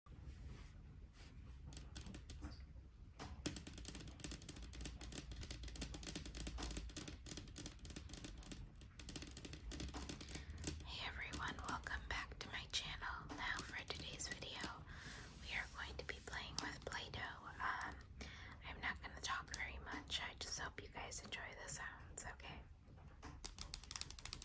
Hey everyone, welcome back to my channel. Now for today's video, we are going to be playing with Play-Doh. Um, I'm not going to talk very much. I just hope you guys enjoy the sounds, okay?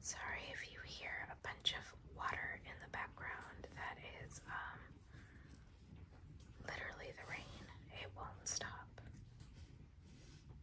Sorry if you hear a bunch of water in the background. That is um literally the rain. It won't stop.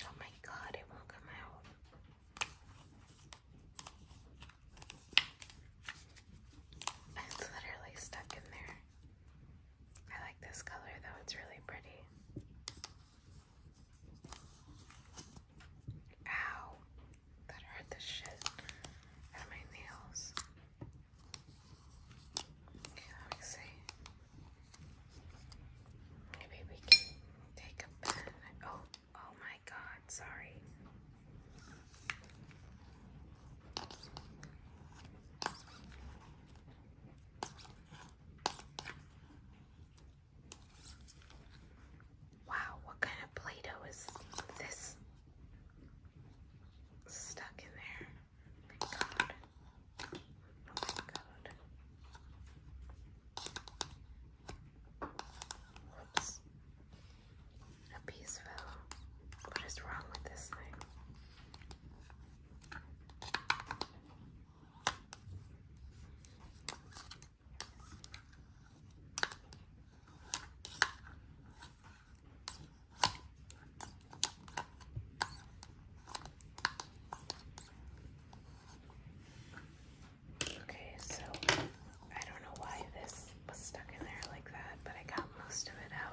Oh my God, it won't come out. It's literally stuck in there. I like this color though, it's really pretty. Ow! That hurt the shit out of my nails. let me see. Maybe we can take a pen. Oh, oh my god, sorry. Wow, what kind of Play Doh is this stuck in there? Oh my god. Oh a piece fell. What is wrong with this thing? Okay, so I don't know why this was stuck in there like that, but I got most of it out.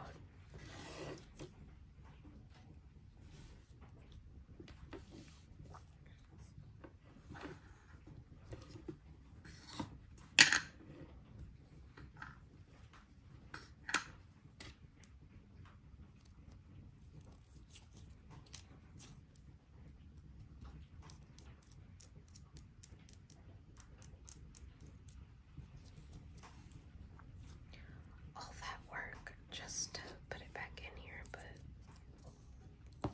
All that work just to put it back in here, but I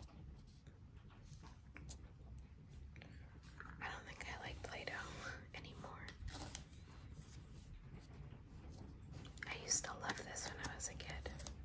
don't think I like Play Doh anymore. I used to love this when I was a kid.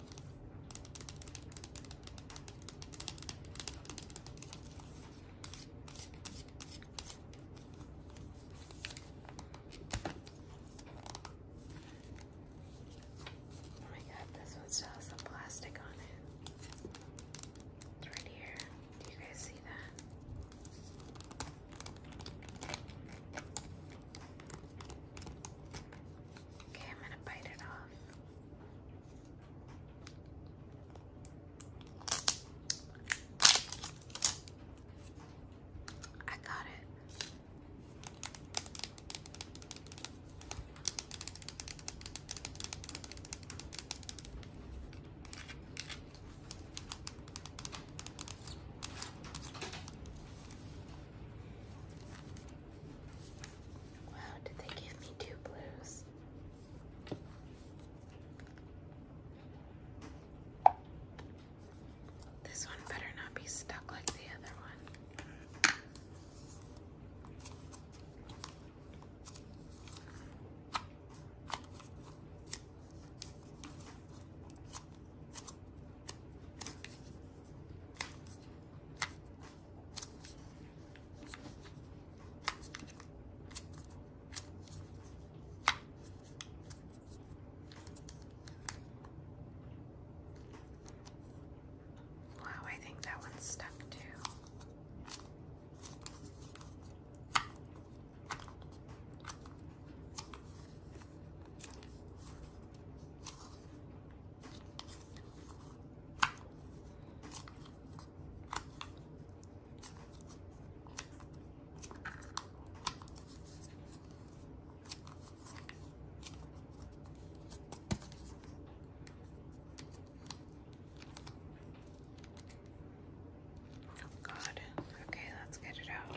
Oh my god, this one still has some plastic on it. It's right here. Do you guys see that? Okay, I'm gonna bite it off. I got it. Wow, did they give me two blues? This one better not be stuck like the other one. Wow, I think that one's stuck too. Oh God. Okay, let's get it out.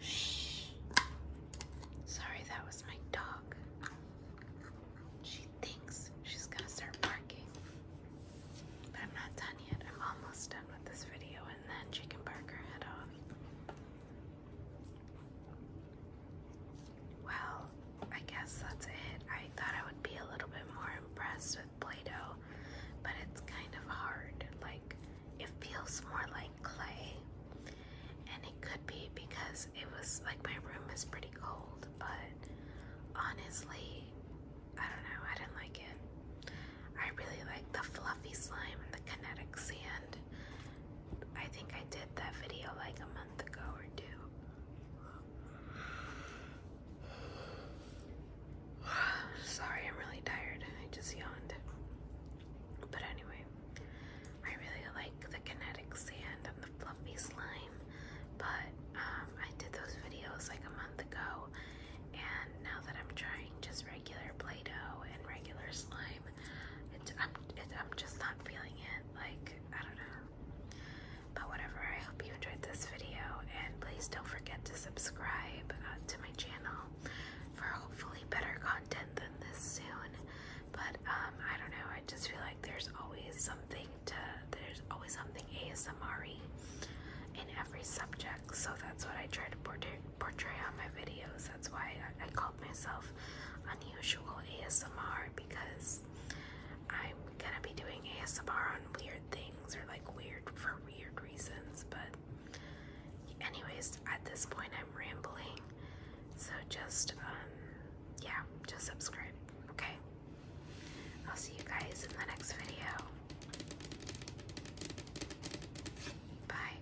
Shh. Sorry, that was my dog. She thinks she's gonna start barking. But I'm not done yet. I'm almost done with this video, and then she can bark her head off. Well, I guess that's it. I thought I would be a little bit more impressed with Play Doh, but it's kind of hard. Like, it feels more like clay. And it could be because it was like my room is pretty cold, but honestly, I don't know. I didn't like it. I really like the fluffy slime and the kinetic sand. I think I did that video like a month. Sorry, I'm really tired. I just yawned. But anyway, I really like the kinetic sand and the fluffy slime, but um, I did those videos like a month ago, and now that I'm trying just regular Play Doh and regular slime, I'm, just not feeling it. Like, I don't know. But whatever, I hope you enjoyed this video. And please don't forget to subscribe uh, to my channel for hopefully better content than this soon. But um, I don't know, I just feel like there's always something to, there's always something ASMR in every subject. So that's what I try to portray, portray on my videos. That's why I called myself unusual ASMR because I'm gonna be doing ASMR on weird things or like weird for weird reasons. But, anyways, at this point, I'm rambling. So, just, um, yeah, just subscribe, okay? I'll see you guys in the next video. Bye.